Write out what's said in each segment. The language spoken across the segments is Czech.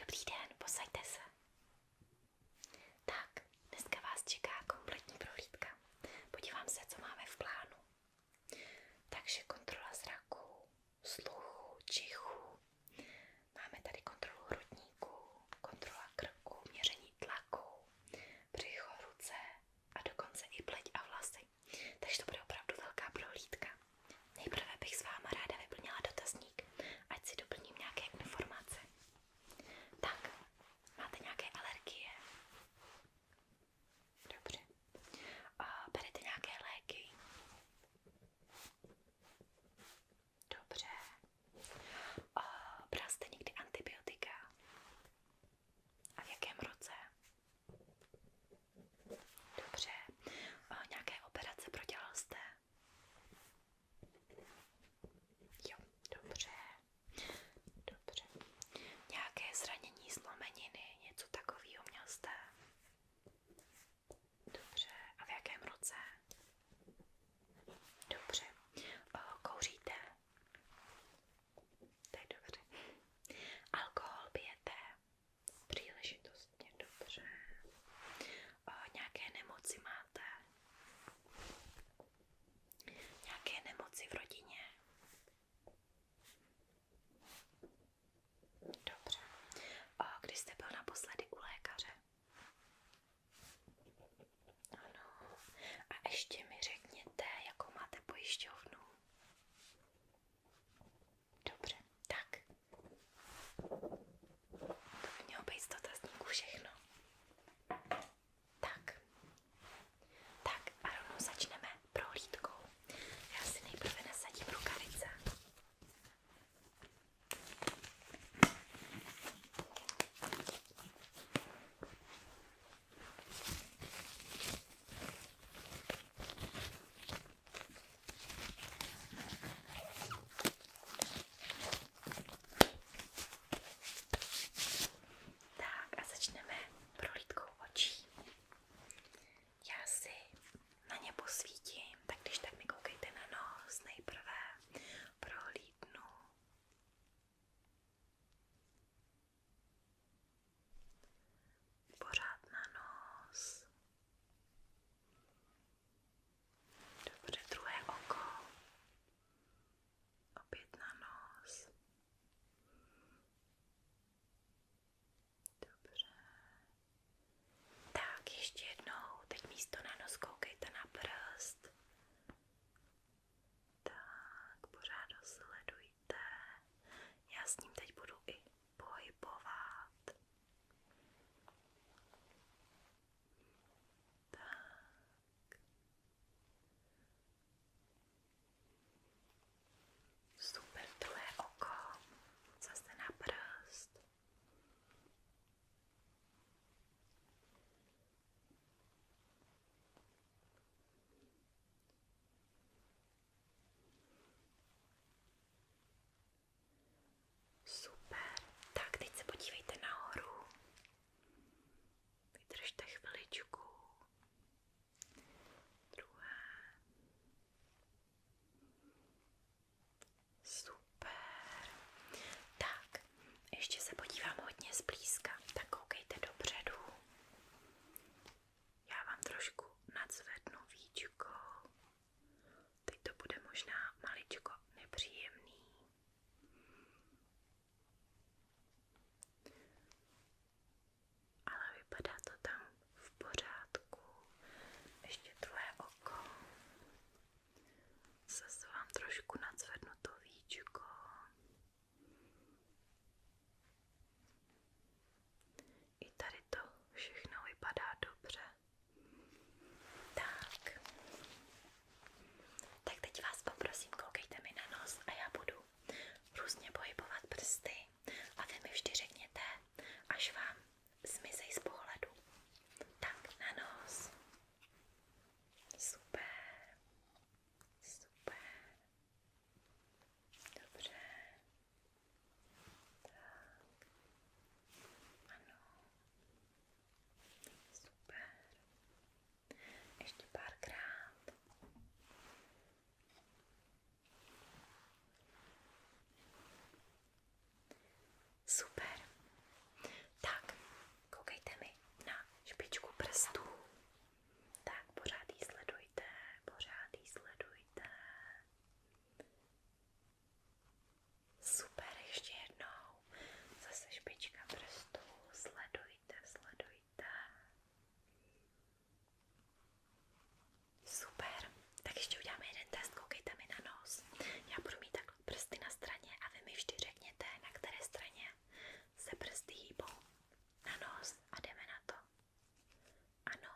Dobrý den, posaďte se. Tak, dneska vás čeká kompletní prohlídka. Podívám se, co máme v plánu. Takže kontrola zraku, sluchu, čichu, Máme tady kontrolu hrudníku, kontrola krku, měření tlaku, břicho, ruce a dokonce i pleť a vlasy. Takže to bude opravdu velká prohlídka. Nejprve bych s váma ráda vyplnila dotazník, ať si doplním nějaké informace. Tak, máte nějaké alergie? Dobře. A berete nějaké léky? Dobře. O, bral jste někdy antibiotika? A v jakém roce? Dobře. O, nějaké operace prodělal jste? Jo, dobře. Dobře. Nějaké zranění zlomeniny, něco takového měl jste? Dobře, a v jakém roce? Dobře, kouříte? To je dobře. Alkohol pijete? Příležitostně, dobře. Nějaké nemoci máte? Nějaké nemoci v rodině? Dobře. Když jste byl naposledy u lékaře? Ano. A ještě mi řekněte, jakou máte pojišťovnu. Dobře, tak. To by mělo být z dotazníku všechno. Tak. Tak a rovnou začneme prohlídkou. Já si nejprve nasadím rukavice. Tak a začneme prohlídkou očí. Já na ně posvítím tak když tak mi koukejte na nos, nejprve prohlídnu. Pořád na nos. Dobře, druhé oko. Opět na nos. Dobře. Tak, ještě jednou. Teď místo na koukejte na prst. Tak, pořád ho sledujte. Já s ním teď budu i pohybovat. Tak. Super, druhé oko. Zase na prst. Super, tak teď se podívejte nahoru. Vydržte chviličku. Druhé. Super. Tak, ještě se podívám hodně zblízka. Tak koukejte dopředu. Já vám trošku nadzvednu víčko. Teď to bude možná maličko nepříjemný. Ale vypadá to tam v pořádku. Ještě druhé oko. Zase vám trošku nadzvednu to víčko. I tady to všechno vypadá dobře. Tak. Tak teď vás poprosím, koukejte mi na nos a já budu různě pohybovat prsty a vy mi vždy řekněte, až vám zmizej z pohledu. Tak, na nos. Super. Super. Dobře. Tak. Ano. Super. Ještě párkrát. Super. Tak, koukejte mi na špičku prstů. Tak, pořád jí sledujte, pořád jí sledujte. Super, ještě jednou. Zase špička prstů. Sledujte, sledujte. Super. Tak ještě uděláme jeden test, koukejte mi na nos. Já budu mít takhle prsty na straně a vy mi vždy řekněte, na které straně se prsty hýbou. Na nos a jdeme na to. Ano.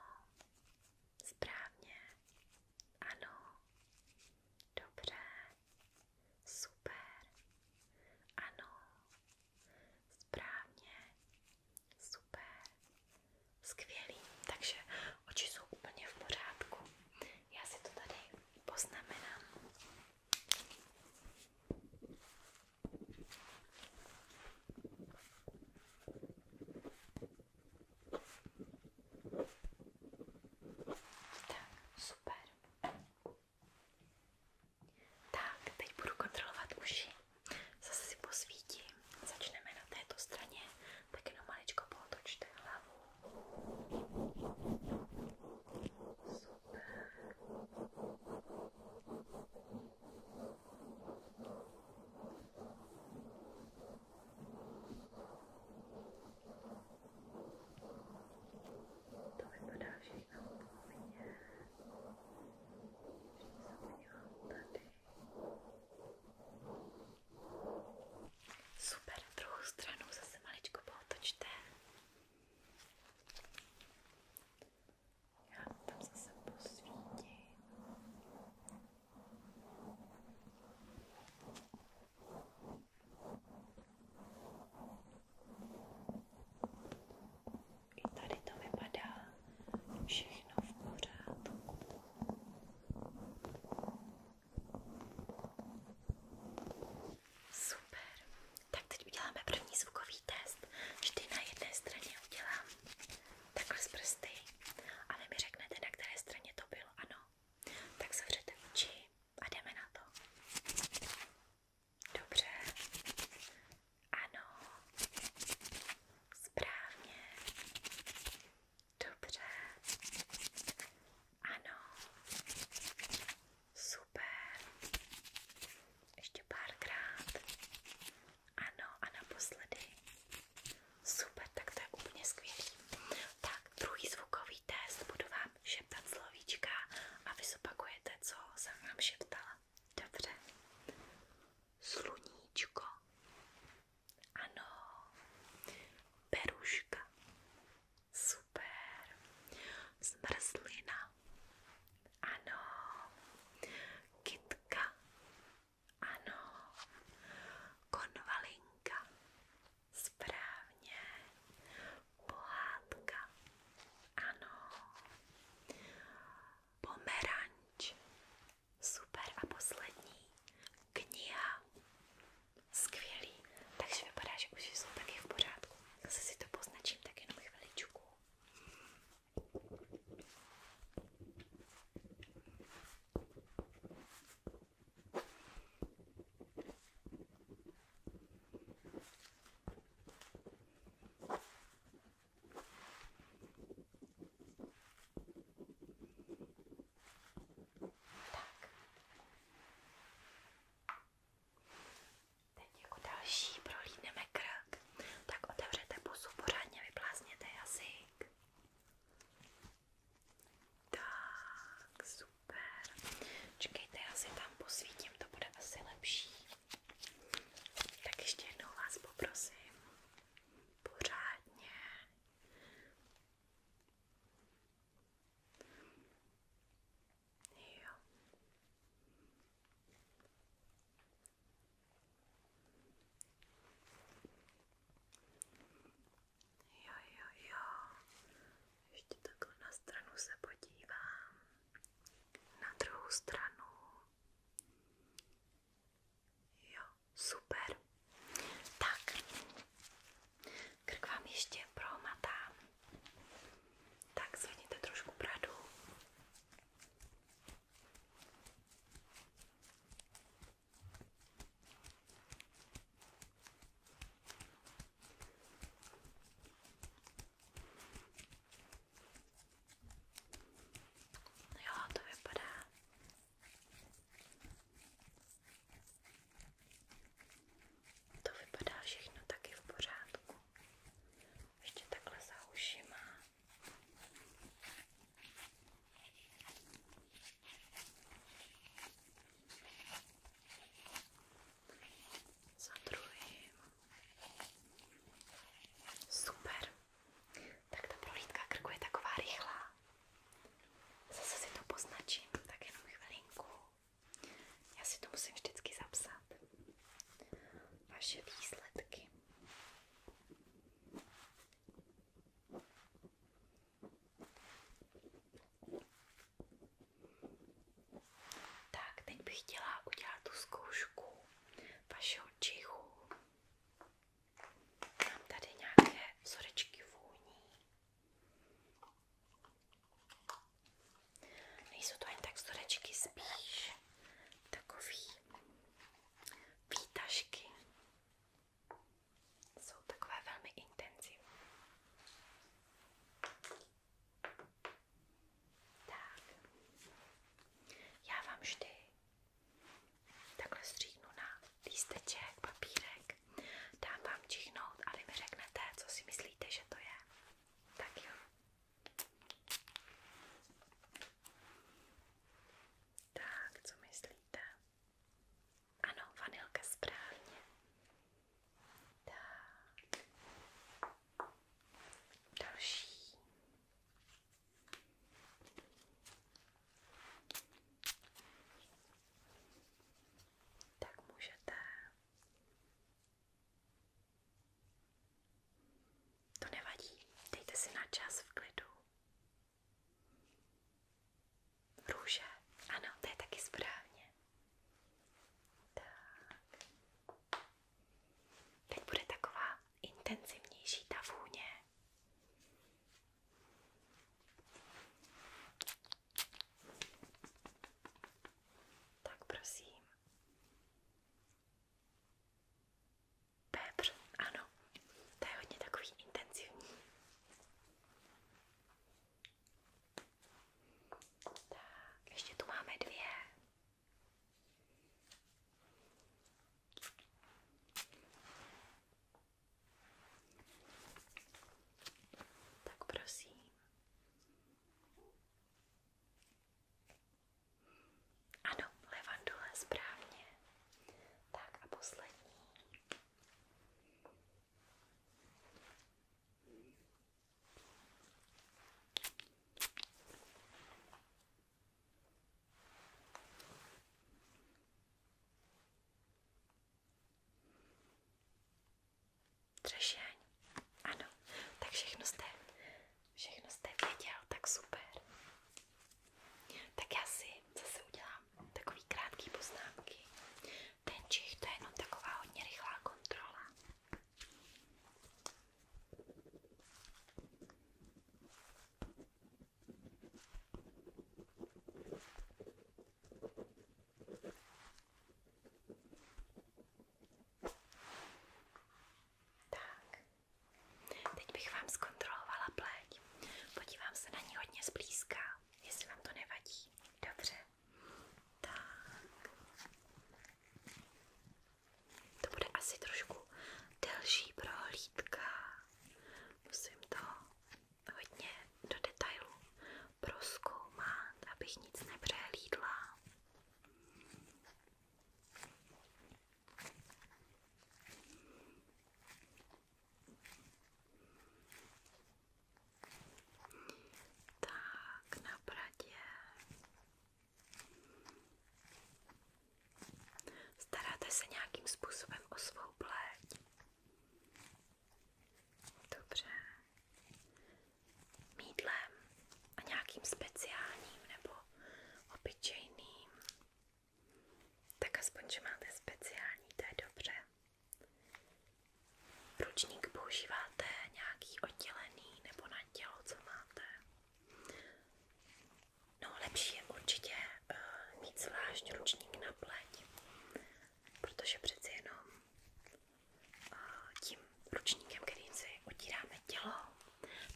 Správně. Ano. Dobře. Super. Ano. Správně. Super. Skvělý, takže oči jsou úplně v pořádku. Já si to tady poznamenám. Tak, super. Tak, teď budu kontrolovat uši. Zase si posvítím. Začneme na této straně tak jenom maličko pootočte hlavu. Super. To vypadá všechno úplně. Ještě se podívám tady. Super, druhou stranu zase maličko pootočte. Já tam zase posvítím. I tady to vypadá všechno v pořádku. Super. Tak teď uděláme první zvukový test. Vždy na jedné straně udělám takhle z prsty a vy mi řeknete, na které straně to bylo. Ano. Tak zavřete oči a jdeme na to. Dobře. Ano. Správně. Dobře. Ano. Super. Ještě párkrát. Ano a naposledy. Super, tak to je úplně skvělý. Tak, druhý zvukový test budu vám šeptat slovíčka a vy zopakujete, co jsem vám šeptala. Dobře. Sluníčko. Ano, peruška. Super. Zmrzlina. Ano. Kytka. Ano. Konvalinka. Správně. Pohádka. Ano. Pomeranč. Super a poslední kniha. Skvělý. Takže vypadá, že už jsou taky v pořádku. Zase si to poznačím tak jenom chviličku. Tak. Teď jako další prohlídneme krk. Tak otevřete pusu, pořádně vyplázněte jazyk. Tak, super. Čekejte, já si tam posvítím, to bude asi lepší. Tak ještě jednou vás poprosím. Pořádně Jo. Jo, jo, jo. Ještě takhle na stranu se podívám. Na druhou stranu. Jo, super. Tak, krk vám ještě promatám. Tak zvedněte trošku bradu. Jo, to vypadá to vypadá všechno taky v pořádku. Ještě takhle za uši má. Za druhým. Super. Tak ta prohlídka krku je taková rychlá. Zase si to poznačím, tak jenom chvilinku. Já si to musím vždycky zapsat. Vaše výsledky. Tak, teď bych chtěla udělat tu zkoušku vašeho čichu. Mám tady nějaké vzorečky vůní. Nejsou to ani tak vzorečky, spíš takový výtažky. Jsou takové velmi intenzivní. Tak, já vám vždy Takhle stříhnu na lísteček, papírek, dám vám čichnout a vy mi řeknete, co si myslíte, že to je. Tak jo. Tak, co myslíte? Ano, vanilka správně. Tak. Další tak můžete to nevadí, dejte si na čas v klidu růže, ano, to je taky správně tak teď bude taková intenzivnější ta vůně tak prosím. Pepř, ano, to je hodně takový intenzivní. Tak, ještě tu máme dvě. Tak prosím. Ano, levandule, správně. Tak a poslední. Třešeň. Ano, tak všechno jste, všechno jste věděl, tak super. Tak já si zase udělám takový krátký poznámky. Ten čich, to je jenom taková hodně rychlá kontrola. Tak, teď bych vám zkontrolovala pleť. Podívám se na ní hodně zblízka, jestli vám to nevadí. Dobře. Tak. To bude asi trošku delší prohlídka. Musím to hodně do detailu proskoumat, abych nic nepřehlídla. Tak, na bradě Staráte se nějakým způsobem o svou pleť? Dobře. Mídlem a nějakým speciálním nebo obyčejným. Tak aspoň, že máte speciální, to je dobře. Ručník používáte nějaký oddělený nebo na tělo, co máte? No, lepší je určitě uh, mít zvlášť ručník na pleť, protože přeci jenom uh, tím ručníkem, kterým si otíráme tělo,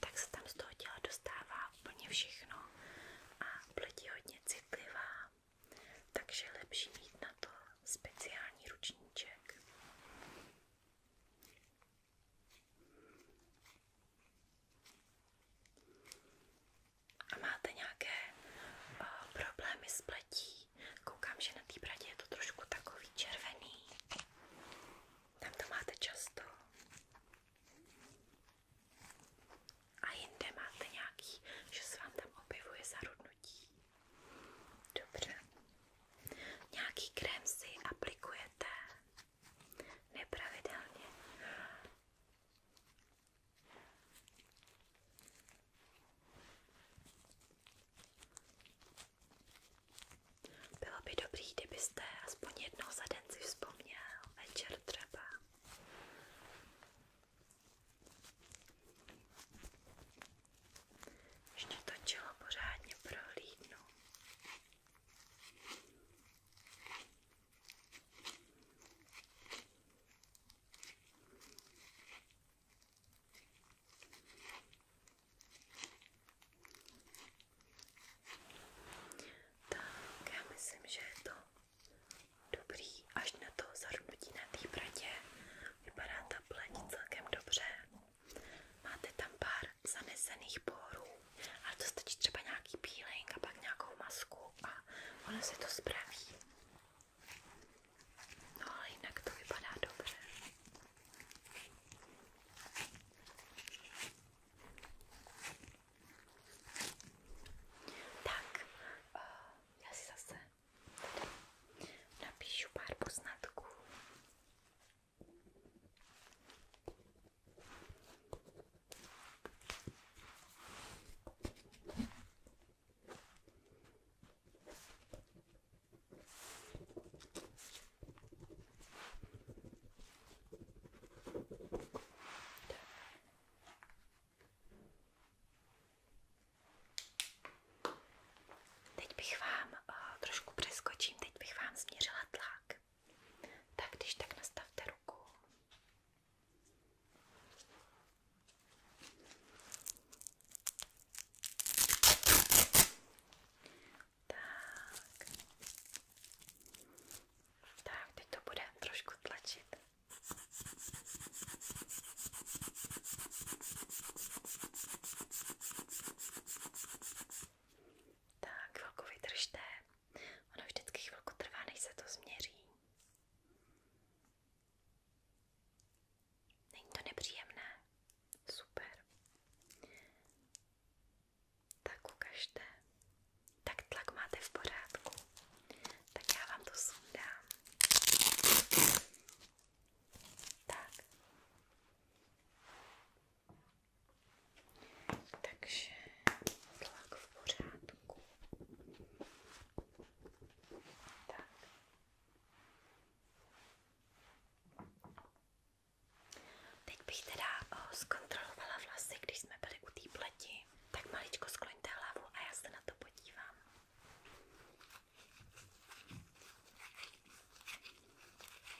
tak se tam z toho těla dostává úplně všechno a pleť je hodně citlivá, takže lepší mít na to speciální ručníček. A máte nějaké o, eh, problémy s pletí? Koukám, že na té bradě je to trošku takový červený. Tam to máte často. A jinde máte nějaký, že se vám tam objevuje zarudnutí. Dobře. Nějaký krém si aplikujete? nepravidelně. Bylo by dobrý, kdybyste aspoň jednou za den si vzpomněl, večer třeba. Ještě to čelo pořádně prohlídnu. Tak, já myslím, že je to dobrý až na to zarnutí na té bratě. Vypadá ta pleť celkem dobře. Máte tam pár zanesených porů ale to stačí třeba nějaký peeling a pak nějakou masku a ono si to zpraví. No jinak to vypadá dobře. Tak, eh, já si zase napíšu pár poznatků Teď bych vám eh, trošku přeskočím, teď bych vám změřila tlak. Tak když tak nastavte ruku. Tak. Tak, teď to bude trošku tlačit. Tak chvilku vydržte. Ono vždycky chvilku trvá, než se to změří. Není to nepříjemné? Super. Tak ukažte. Tak tlak máte v pořádku. Tak já vám to sundám. Tak. Takže tlak v pořádku. Tak. Teď bych teda o, zkontrolovala vlasy, když jsme byli u té pleti. Tak maličko skloňte hlavu a já se na to podívám.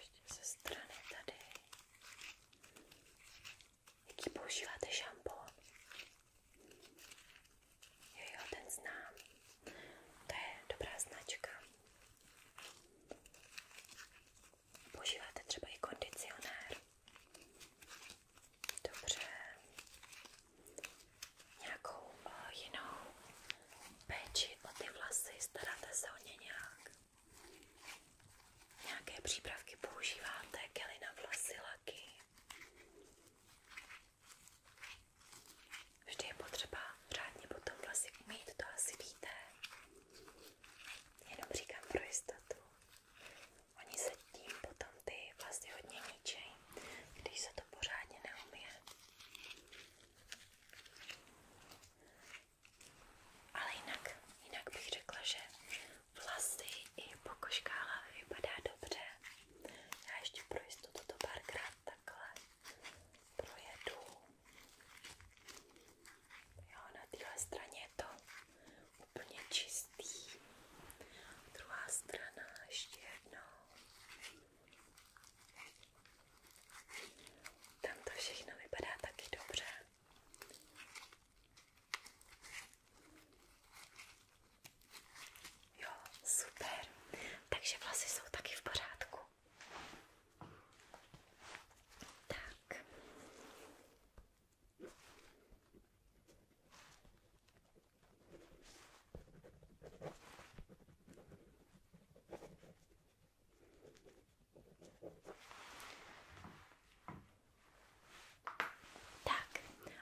Ještě ze strany tady. Jaký používáte šampon? Jo, jo, ten znám. To je dobrá značka. Používáte třeba i kondicionér. Dobře. Nějakou uh, jinou péči o ty vlasy? Staráte se o ně nějak? Nějaké přípravky používáte? Kely na vlasy, laky? Vždy je potřeba řádně potom vlasy umít, to asi víte. Jenom říkám pro jistotu. Oni se tím potom ty vlasy hodně ničejí, když se to pořádně neumije. Ale jinak, jinak bych řekla, že vlasy i pokožka hlavy vypadá dobře. Já ještě pro jistotu to párkrát takhle projedu. Jo, na téhle straně je to úplně čistý. Druhá strana ještě jednou. Tam to všechno vypadá taky dobře. Jo, super. Takže vlasy jsou taky v pořádku. Tak. Tak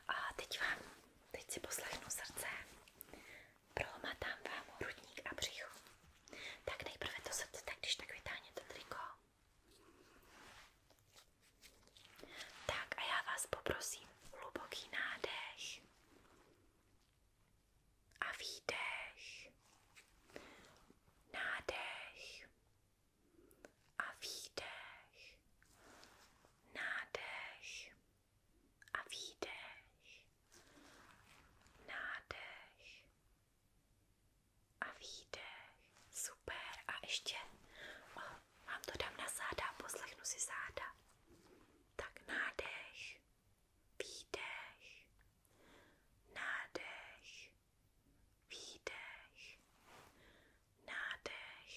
a teď vám, teď si poslechnu srdce, prolomatám vám hrudník a břicho. Tak nejprve to srdce, tak když tak vytáhněte triko. Tak a já vás poprosím, hluboký nádech a výdech, nádech a výdech, nádech a výdech, nádech a výdech. Super. A ještě o, vám to dám na záda a poslechnu si záda. Tak nádech výdech, nádech, výdech, nádech,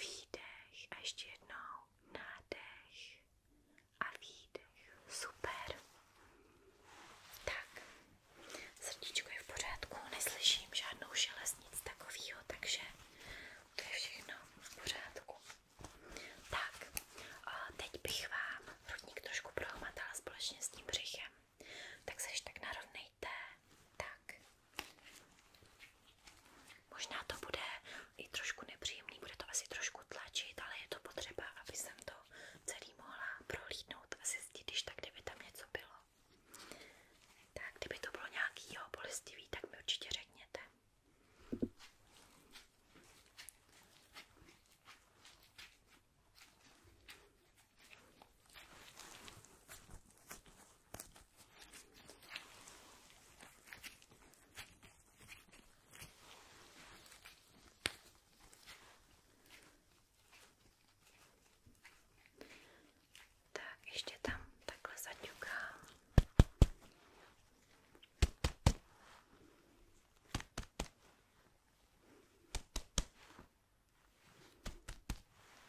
výdech a ještě jednou nádech a výdech. Super. Tak, srdíčko je v pořádku, neslyším žádnou šelest, nic takového, takže to je všechno v pořádku. Tak, teď bych vám hrudník trošku prohmatala společně s tím břichem. Tak se ještě tak narovnejte. Tak. Možná to bude i trošku nepříjemný, bude to asi trošku tlačit, ale je to potřeba, aby jsem to celý mohla prohlídnout a zjistit, když tak, kdyby tam něco bylo. Tak, kdyby to bylo nějaký jo, bolestivý, tak mi určitě řekněte. Tak ještě tam takhle zaťukám.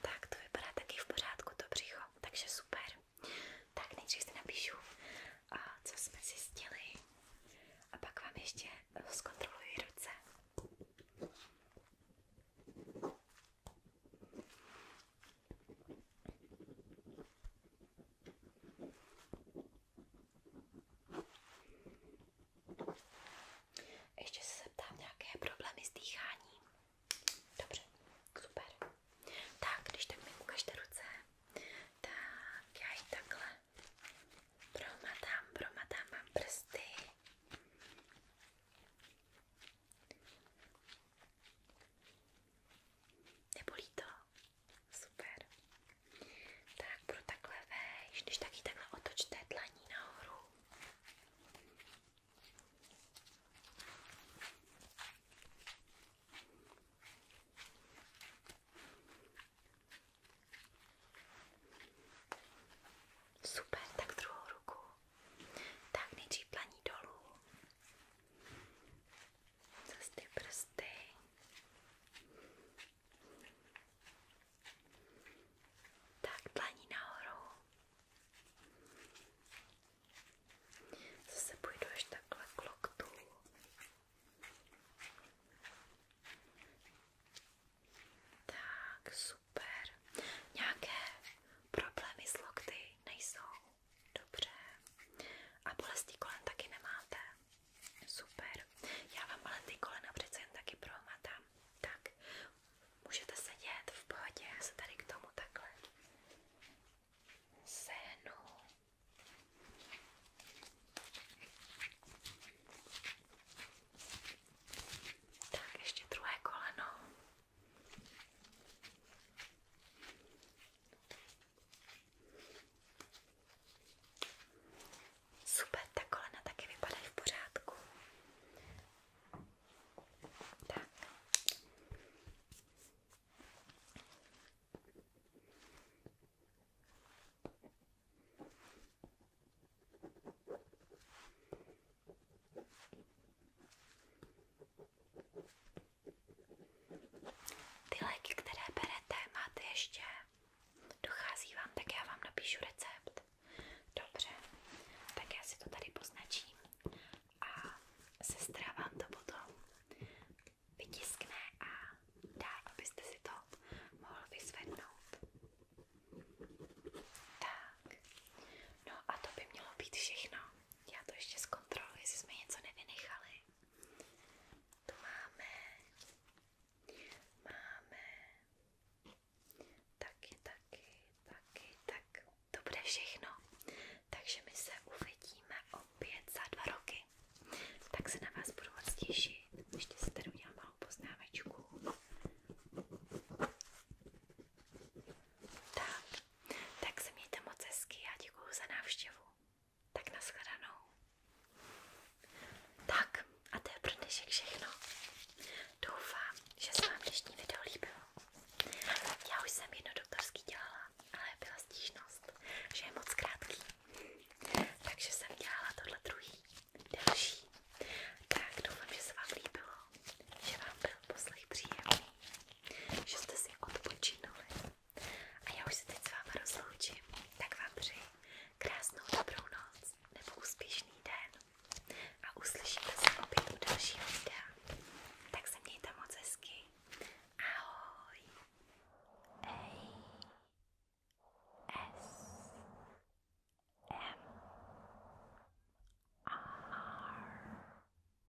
Tak to vypadá taky v pořádku, to břicho, takže super. Tak nejdřív si napíšu, a co jsme zjistili a pak vám ještě zkontroluji ruce. Ještě se zeptám nějaké problémy s dýcháním. Dobře, super. Tak, když tak mi ukažte ruce, tak já ji takhle promatám, promatám mám prsty. Nebolí to? Super. Tak budu takhle vejš, když taky takhle otočte dlaní nahoru. Super, tak druhou ruku. Tak nejdřív dlaní dolů. Zas ty prsty. Tak, dlaní nahoru. Zase půjdu až takhle k loktu. Tak, super. Nějaké problémy s lokty nejsou? Dobře. A bolesti kolen taky nemáte? Super. Já vám ale ty kolena přece jen taky prohmatám. Tak, můžete sedět v pohodě. Já se tady k tomu takhle sehnu. Tak, ještě druhé koleno. Super, ta kolena taky vypadají v pořádku. Tak. Ty léky, které berete, máte ještě? Dochází vám, tak já vám napíšu recept. Dobře, tak já si to tady poznačím a sestra vám to potom vytiskne a dá, abyste si to mohl vyzvednout. Tak, no a to by mělo být všechno. Já to ještě zkontroluji, jestli jsme něco nevynechali. Tu máme, máme, taky, taky, taky, tak to bude všechno. Takže my se uvidíme opět za dva roky. Tak se na vás budu moc těšit. Ještě si tady udělám malou poznámečku. Tak, tak se mějte moc hezky a děkuju za návštěvu. Tak nashledanou. Tak a to je pro dnešek všechno. Doufám, že se vám dnešní video líbilo. Já už jsem jedno doktorský dělala, ale byla stížnost, že je moc krátký. Takže jsem dělala tohle druhý, delší. Tak doufám, že se vám líbilo, že vám byl poslech příjemný že jste si odpočinuli. A já už se teď s váma rozloučím, tak vám přeji krásnou dobrou noc nebo úspěšný den. A uslyšíme se opět u dalšího videa. Tak se mějte moc hezky. Ahoj. A S M R